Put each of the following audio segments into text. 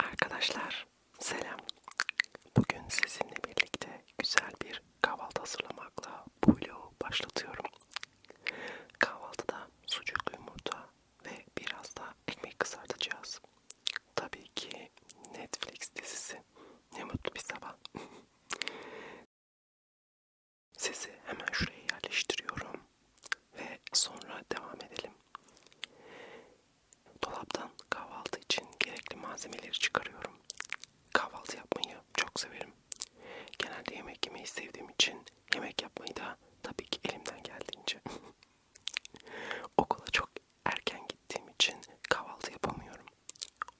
Arkadaşlar selam. Bugün sizinle birlikte güzel bir kahvaltı hazırlamakla bu vlogu başlatıyorum. Kahvaltıda sucuk, yumurta ve biraz da ekmek kızartacağız. Tabii ki Netflix dizisi. Ne mutlu bir sabah. Sizi hemen şuraya yerleştiriyorum ve sonra devam edelim. Dolaptan kahvaltı için gerekli malzemeleri çıkarıyorum. Kahvaltı yapmayı çok severim. Genelde yemek yemeyi sevdiğim için yemek yapmayı da tabii ki elimden geldiğince Okula çok erken gittiğim için kahvaltı yapamıyorum.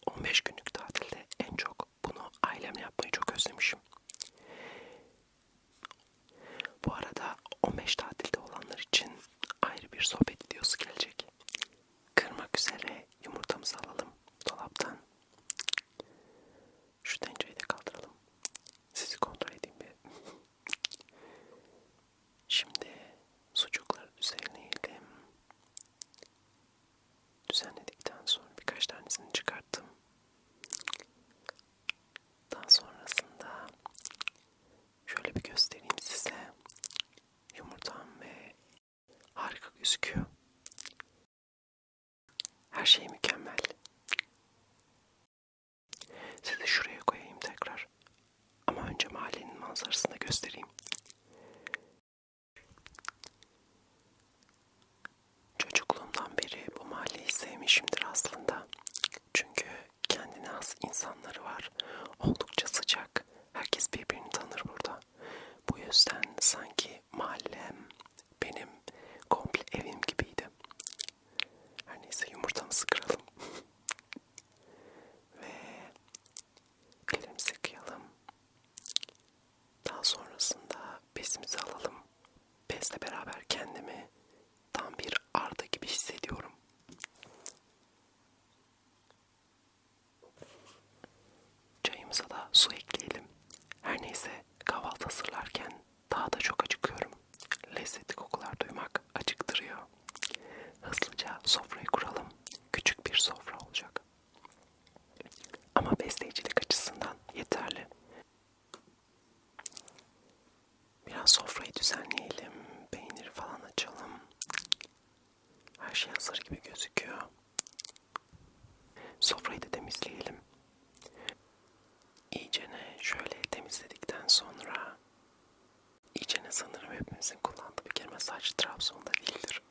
15 günlük tatilde en çok bunu ailemle yapmayı çok özlemişim. Bu arada 15 tatilde olanlar için ayrı bir sohbet videosu gelecek. Kırmak üzere yumurtamızı alalım dolaptan. Şu tencereyi de kaldıralım. Sizi kontrol edeyim bir. Şimdi sucukları düzenleyelim. Düzenledikten sonra birkaç tanesini çıkarttım. Daha sonrasında şöyle bir göstereyim size. Yumurtam ve harika gözüküyor. Her şey mükemmel. Sizi şuraya koyayım tekrar. Ama önce mahallenin manzarasını göstereyim. Çocukluğumdan beri bu mahalleyi sevmişimdir aslında. Çünkü kendine has insanları var. Oldukça sıcak. Herkes birbirini tanır burada. Bu yüzden sanki mahallem benim komple evim gibiydi. Her neyse yumurtamızı kıralım. Ve ellerimizi kıyalım. Daha sonrasında bezimizi alalım. Bezle beraber kendimi tam bir arda gibi hissediyorum. Çayımıza da su ekleyelim. Her neyse kahvaltı hazırlarken daha da çok acıkıyorum. Lezzetli kokular duymak acıktırıyor. Hızlıca sofrayı kuralım. Küçük bir sofra olacak. Ama besleyicilik açısından yeterli. Biraz sofrayı düzenleyelim. Peynir falan açalım. Her şey hazır gibi gözüküyor. Sofrayı da temizleyelim. İyicene şöyle temizledikten sonra İyicene sanırım hepimizin kullandığı bir kelime sadece Trabzon'da değildir.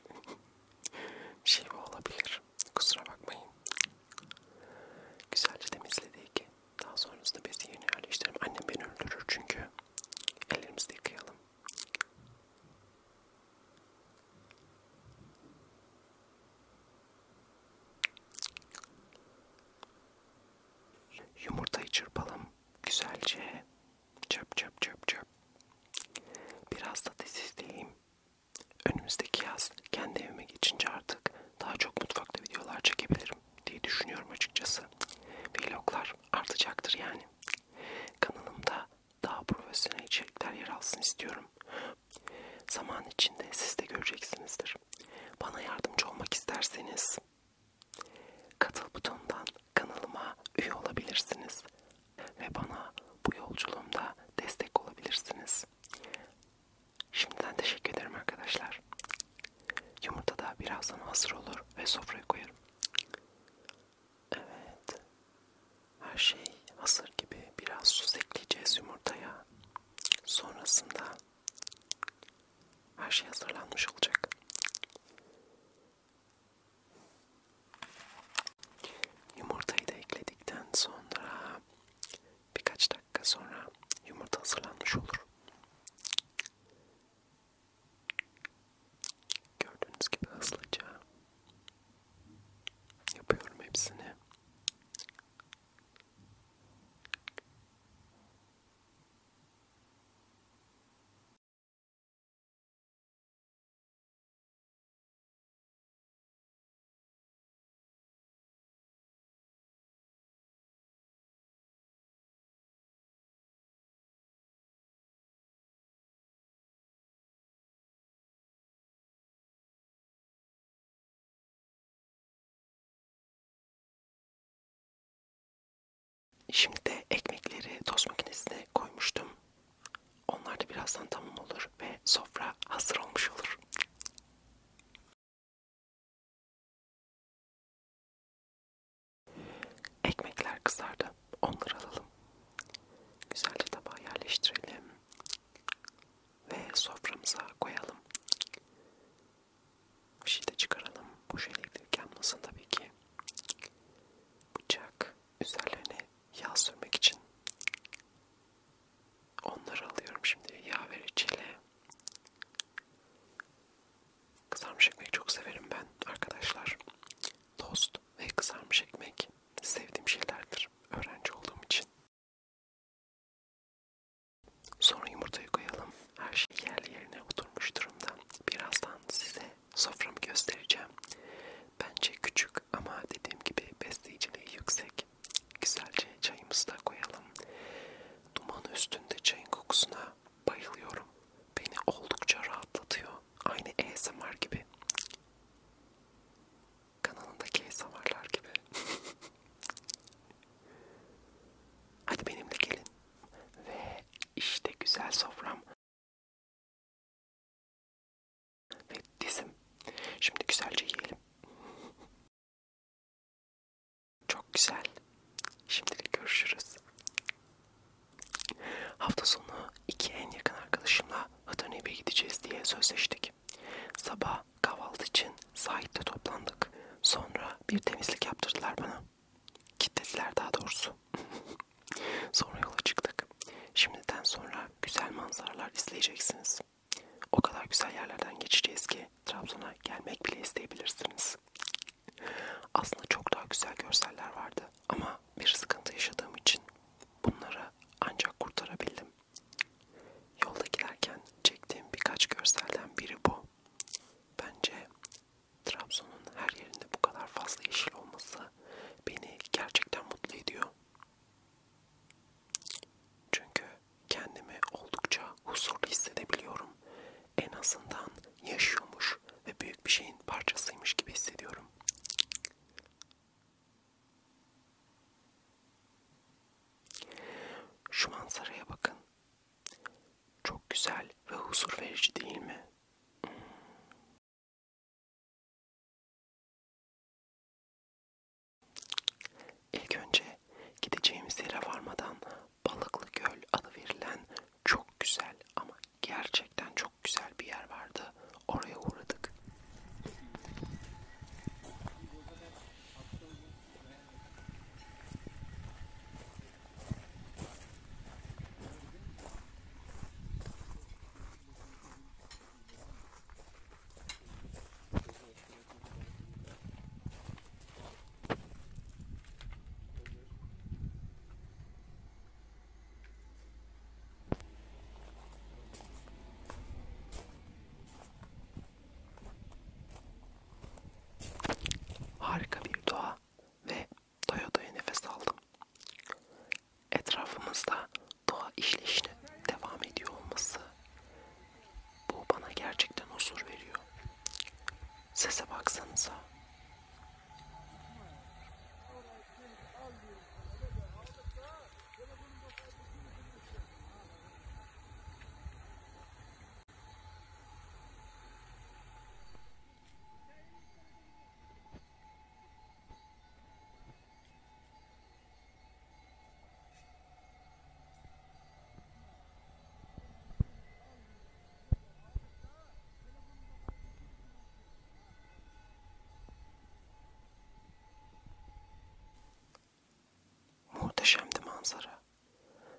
Şive olabilir. Kusura bakmayın. Güzelce temizledik. Daha sonrasında bezi yerine yerleştirelim. Annem beni öldürür çünkü. Ellerimizi de yıkayalım. Yumurtayı çırpalım güzelce. Çöp çöp çöp çöp. Biraz da dizisteyim. Önümüzdeki yaz kendi evime geçince artık daha çok mutfakta videolar çekebilirim diye düşünüyorum açıkçası. Vloglar artacaktır yani. Kanalımda daha profesyonel içerikler yer alsın istiyorum. Zaman içinde siz de göreceksinizdir. Bana yardımcı olmak isterseniz katıl butonundan kanalıma üye olabilirsiniz ve bana bu yolculuğumda destek olabilirsiniz. Şimdiden teşekkür ederim arkadaşlar. Yumurta da birazdan hazır olur ve sofraya koyarım. Evet. Her şey hazır gibi biraz süz ekleyeceğiz yumurtaya. Sonrasında her şey hazırlanmış olacak. Yumurtayı da ekledikten sonra birkaç dakika sonra yumurta hazırlanmış olur. Gördüğünüz gibi hızlıca Yapıyorum hepsini. Şimdi de ekmekleri toz makinesine koymuştum. Onlar da birazdan tamam olur ve sofra hazır olmuş olur. Ekmekler kızardı. Onları alalım. Güzelce tabağa yerleştirelim. Ve soframıza koyalım. Bir şey de çıkaralım. Boş elektrik yanmasın tabii ki. Bıçak. Üzerlerine yağ sürmek için. Onları alıyorum şimdi. Yağ vericiyle. Kızarmış ekmeği çok severim ben arkadaşlar tost ve kızarmış ekmek sevdiğim şeylerdir öğrenci olduğum için. Sonra yumurtayı koyalım. Her şey yerli yerine oturmuş durumda. Birazdan size soframı göstereceğim. Bence küçük ama dediğim gibi besleyiciliği yüksek. Güzelce çayımızı da koyalım. Duman üstünde çayın kokusuna bayılıyorum. Beni oldukça rahatlatıyor. Aynı ASMR gibi. Kanalındaki ASMR'lar gibi. Hadi benimle gelin. Ve işte güzel sofram. Ve dizim. Şimdi güzelce yiyelim. Çok güzel. Şimdilik görüşürüz. Hafta sonu iki en yakın arkadaşımla Hatırnebi'ye gideceğiz diye sözleştik. Sabah kahvaltı için sahilde toplandık. Sonra bir temizlik yaptırdılar bana. Kitlediler daha doğrusu. sonra yola çıktık. Şimdiden sonra güzel manzaralar izleyeceksiniz. O kadar güzel yerlerden geçeceğiz ki Trabzon'a gelmek bile isteyebilirsiniz yapacağız. Aslında çok daha güzel görseller vardı ama bir sıkıntı yaşadığım için bunları ancak kurtarabildim. Yolda giderken çektiğim birkaç görselden biri bu. Bence Trabzon'un her yerinde bu kadar fazla yeşil olması beni gerçekten mutlu ediyor. Çünkü kendimi oldukça huzurlu hissedebiliyorum en azından yaşıyormuş ve büyük bir şeyin parçasıymış gibi hissediyorum. Şu manzaraya bakın. Çok güzel ve huzur verici değil mi? İlk önce gideceğimiz yere varmadan Balıklı Göl adı verilen çok güzel ama gerçekten çok güzel bir yer vardı. Oraya uğradık. Harika bir doğa ve doya doya nefes aldım. Etrafımızda doğa işleyişine devam ediyor olması bu bana gerçekten huzur veriyor. Sese baksanıza. Muhteşemdi manzara.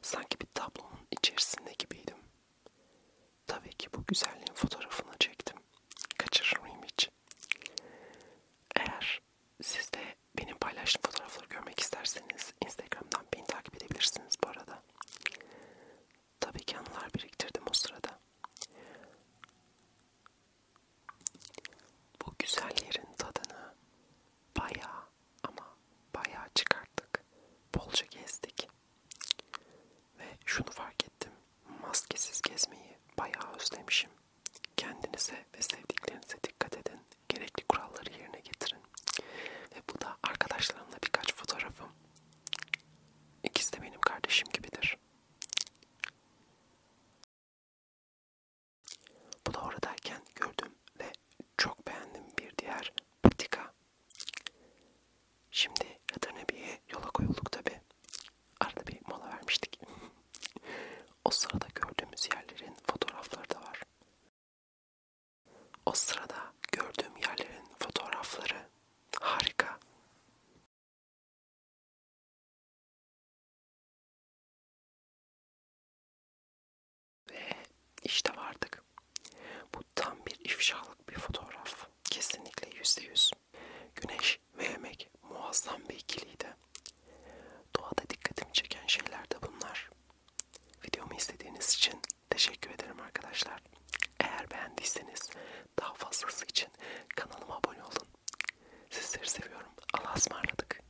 Sanki bir tablonun içerisinde gibiydim. Tabii ki bu güzelliğin fotoğrafını çektim. Kaçırır mıyım hiç? Eğer siz de benim paylaştığım fotoğrafları görmek isterseniz Instagram'dan beni takip edebilirsiniz bu arada. Tabii ki anılar biriktirdim o sırada. Bu güzel yerin tadını bayağı ama bayağı çıkarttık. Bolca gezdik. Ve şunu fark ettim. Maskesiz gezmeyi bayağı özlemişim. Kendinize ve sevdiklerinize dikkat edin. Gerekli kuralları yerine getirin. Ve bu da arkadaşlarımla birkaç fotoğrafım. İkisi de benim kardeşim gibidir. Bu da oradayken gördüm ve çok beğendim bir diğer patika. Şimdi Rıdırnebi'ye yola koyulduk tabi. Arada bir mola vermiştik. o sırada gördüğümüz yerlerin fotoğrafları da var. O sırada gördüğüm yerlerin fotoğrafları harika. Ve işte vardık. Bu tam bir ifşalık bir fotoğraf. Kesinlikle yüzde yüz. Güneş ve yemek muazzam bir ikiliydi. Doğada dikkatimi çeken şeyler de bunlar. Videomu izlediğiniz için teşekkür ederim arkadaşlar. Eğer beğendiyseniz daha fazlası için kanalıma abone olun. Sizleri seviyorum. Allah'a ısmarladık.